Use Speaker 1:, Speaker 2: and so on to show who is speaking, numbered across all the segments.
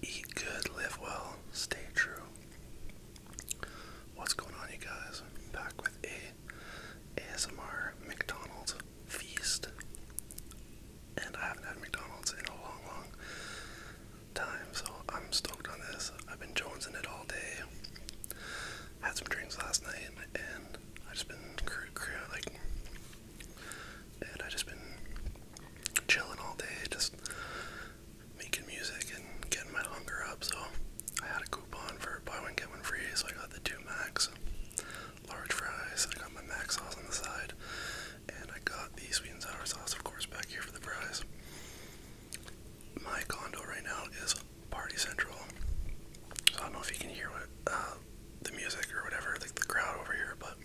Speaker 1: Eat good, live well, stay true. What's going on, you guys? I'm back with a ASMR McDonald's feast. And I haven't had McDonald's in a long, long time, so I'm stoked on this. I've been jonesing it all day. Had some drinks last night, and I've just been like and I just been chilling all day, just making music and getting my hunger up. So I had a coupon for buy one get one free, so I got the two Macs, large fries. I got my Mac sauce on the side, and I got the sweet and sour sauce, of course, back here for the fries. My condo right now is Party Central, so I don't know if you can hear what uh, the music or whatever, like the crowd over here, but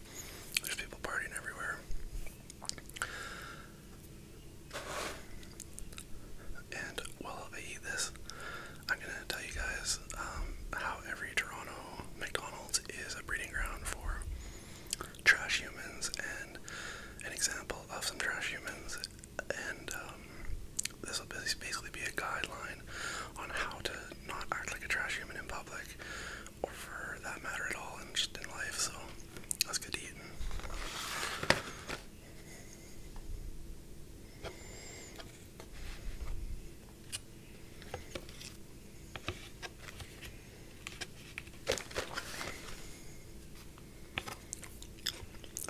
Speaker 1: there's people partying everywhere. And while I eat this, I'm gonna tell you guys um, how every Toronto McDonald's is a breeding ground for trash humans and an example of some trash humans. And um, this will basically be a guideline on how to not act like a trash human in public, or for that matter at all, and just in life. So that's good eating.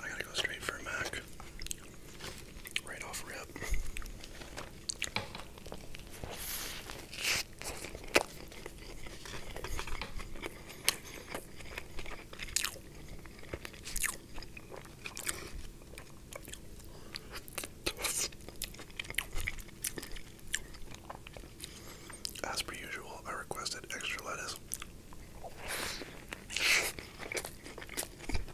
Speaker 1: I gotta go straight for a Mac. Right off rip. As per usual, I requested extra lettuce.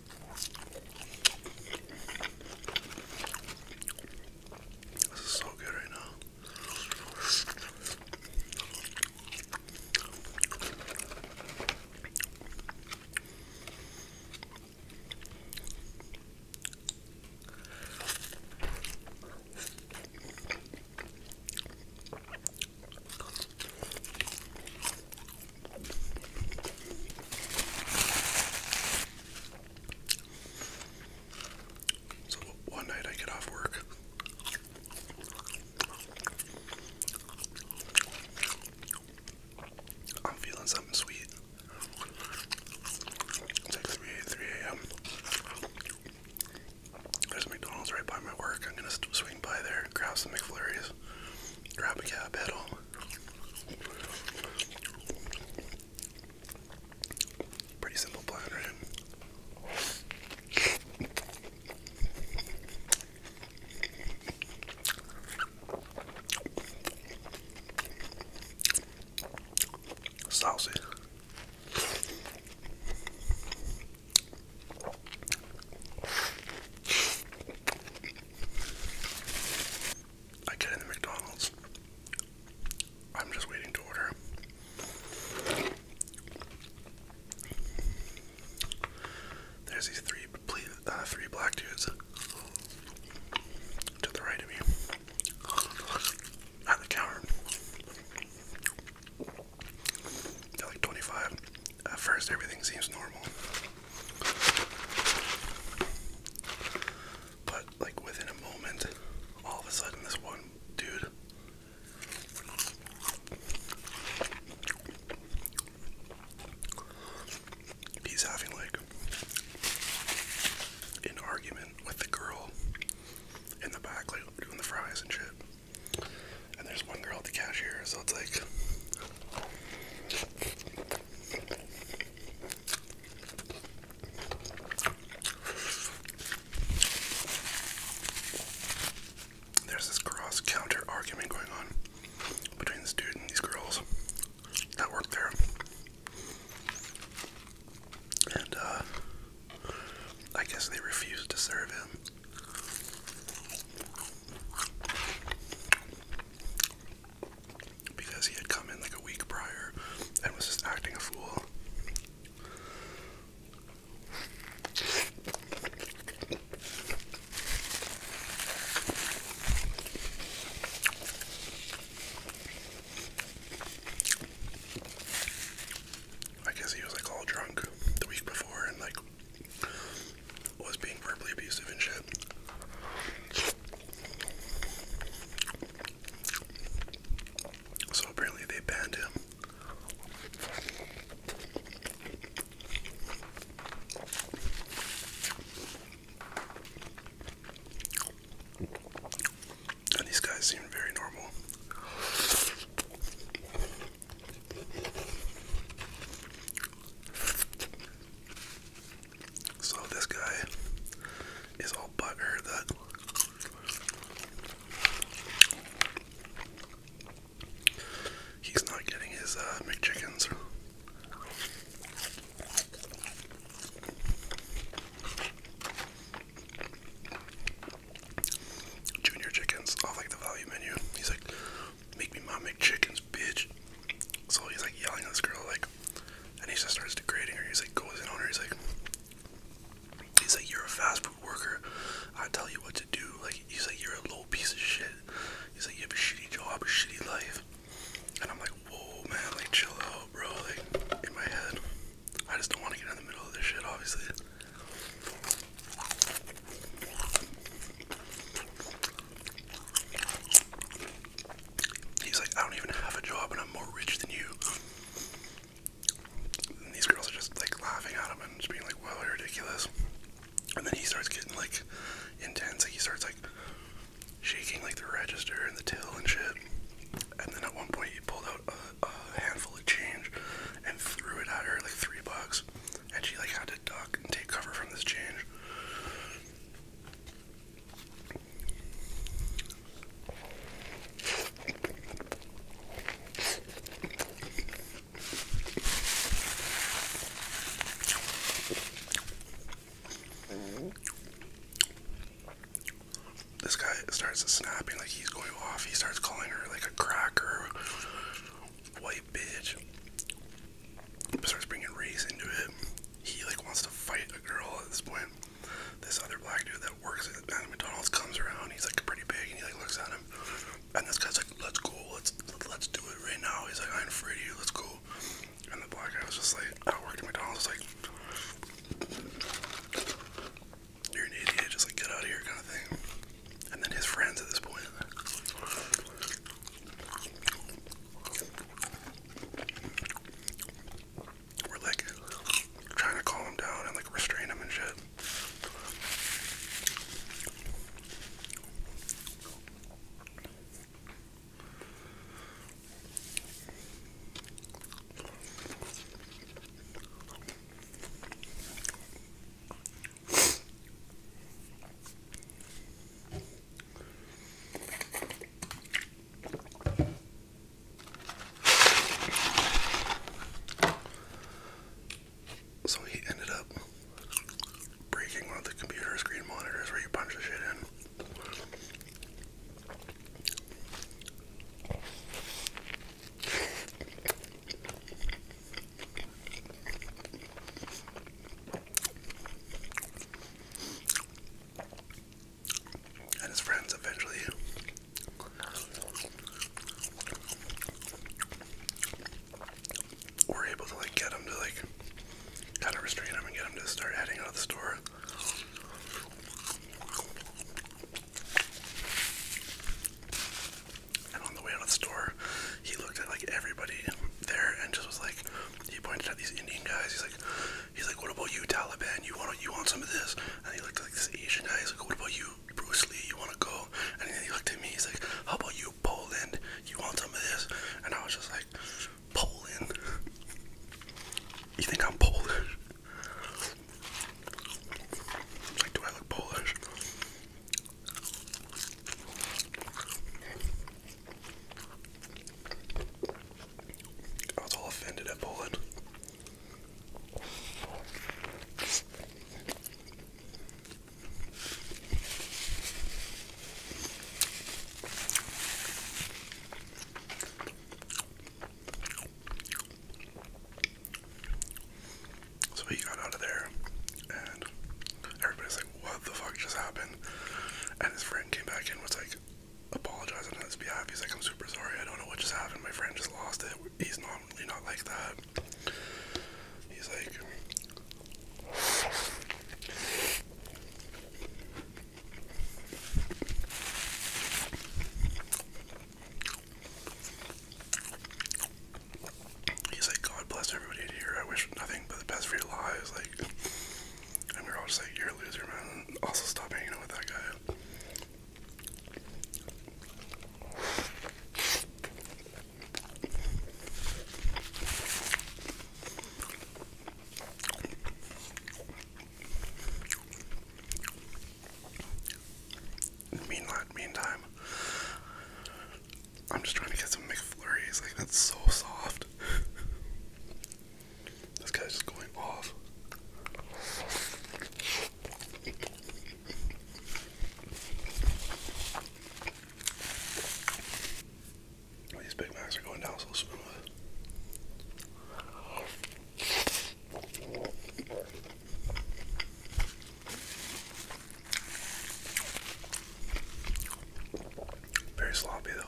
Speaker 1: This is so good right now. So one night I get off work. I'm feeling something sweet. It's like 3, 3 a.m. There's McDonald's right by my work. I'm gonna swing by there, grab some McFlurries, grab a cab, head home. Pretty simple plan, right? Saucy. I get in the McDonald's. I'm just waiting to order. There's these three, uh, three black dudes to the right of me at the counter. They're like 25, at first, everything seems normal. But, like, within a moment, all of a sudden, this one dude he's having like an argument with the girl in the back like doing the fries and shit and there's one girl at the cashier, so it's like. There's this cross counter argument going on between this dude and these girls that work there. And, uh, I guess they refuse to serve him. Because he had come in like a week prior and was just acting a fool. I guess he was like all drunk the week before and like was being verbally abusive and shit. So apparently they banned him. these guys seem very normal. So this guy is all butthurt that he's not getting his uh, McChickens. Junior chickens off like the value menu. He's like, make me mom make chickens, bitch. So he's like yelling at this girl, like, and he just starts degrading her. He's like, goes in on her. He's like, he's like, you're a fast food worker. I tell you what to do. Like, he's like, you're a low piece of shit. He's like, you have a shitty job, a shitty life. And I'm like, whoa, man, like, chill out, bro. Like, in my head, I just don't want to get in the middle of this shit, obviously. He's like, I don't even have a job and I'm more rich than you. And these girls are just like laughing at him and just being like, well, you're ridiculous. And then he starts getting like intense. Like he starts like shaking like the register and the till and shit. And then at one point he pulled out a handful of change and threw it at her like three bucks, and she like had to duck and take cover from this change this guy starts snapping like he's going off. He starts calling her like a cracker, white bitch. Starts bringing race into it. He like wants to fight a girl at this point. This other black dude that works at McDonald's comes around. He's like pretty big, and he like looks at him. And this guy's like, "Let's go, let's let's do it right now." He's like, "I am afraid to you. Let's go." And the black guy was just like, "I worked at McDonald's." Like, you're an idiot, just like get out of here kind of thing. And then his friends at this point. We're like trying to calm him down and like restrain him and shit. So he ended up breaking one of the computer screen monitors where you punch the shit in. And his friends eventually were able to like get him to like kind of restrain him and get him to start heading out of the store. And on the way out of the store, he looked at like everybody there and just was like, he pointed at these Indian guys. He's like, he's like, what about you, Taliban? You want you want some of this? And he looked at like this Asian guy. He's like, what about you, Bruce Lee? You want to go? And then he looked at me. He's like, how about you, Poland? You want some of this? And I was just like. Poland. you think I'm Polish? Like, do I look Polish? I was all offended at Poland. So he got out of there, and everybody's like, What the fuck just happened? And his friend came back in, was like, apologizing on be happy." He's like, I'm super sorry, I don't know what just happened. My friend just lost it. He's normally not like that. He's like, He's like, God bless everybody here. I wish nothing but the best for your lives. Like, and we were all just like, you're a loser, man. also, stop hanging out with that guy meantime, I'm just trying to get some McFlurries. Like that's so soft. this guy's just going off. These Big Macs are going down so smooth. Very sloppy though.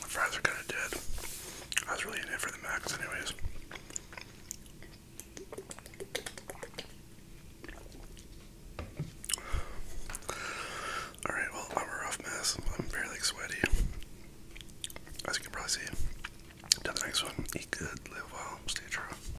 Speaker 1: My fries are kind of dead. I was really in it for the max, anyways. Alright, well, I'm a rough mess. I'm very sweaty. As you can probably see. To the next one. Eat good, live well, stay true.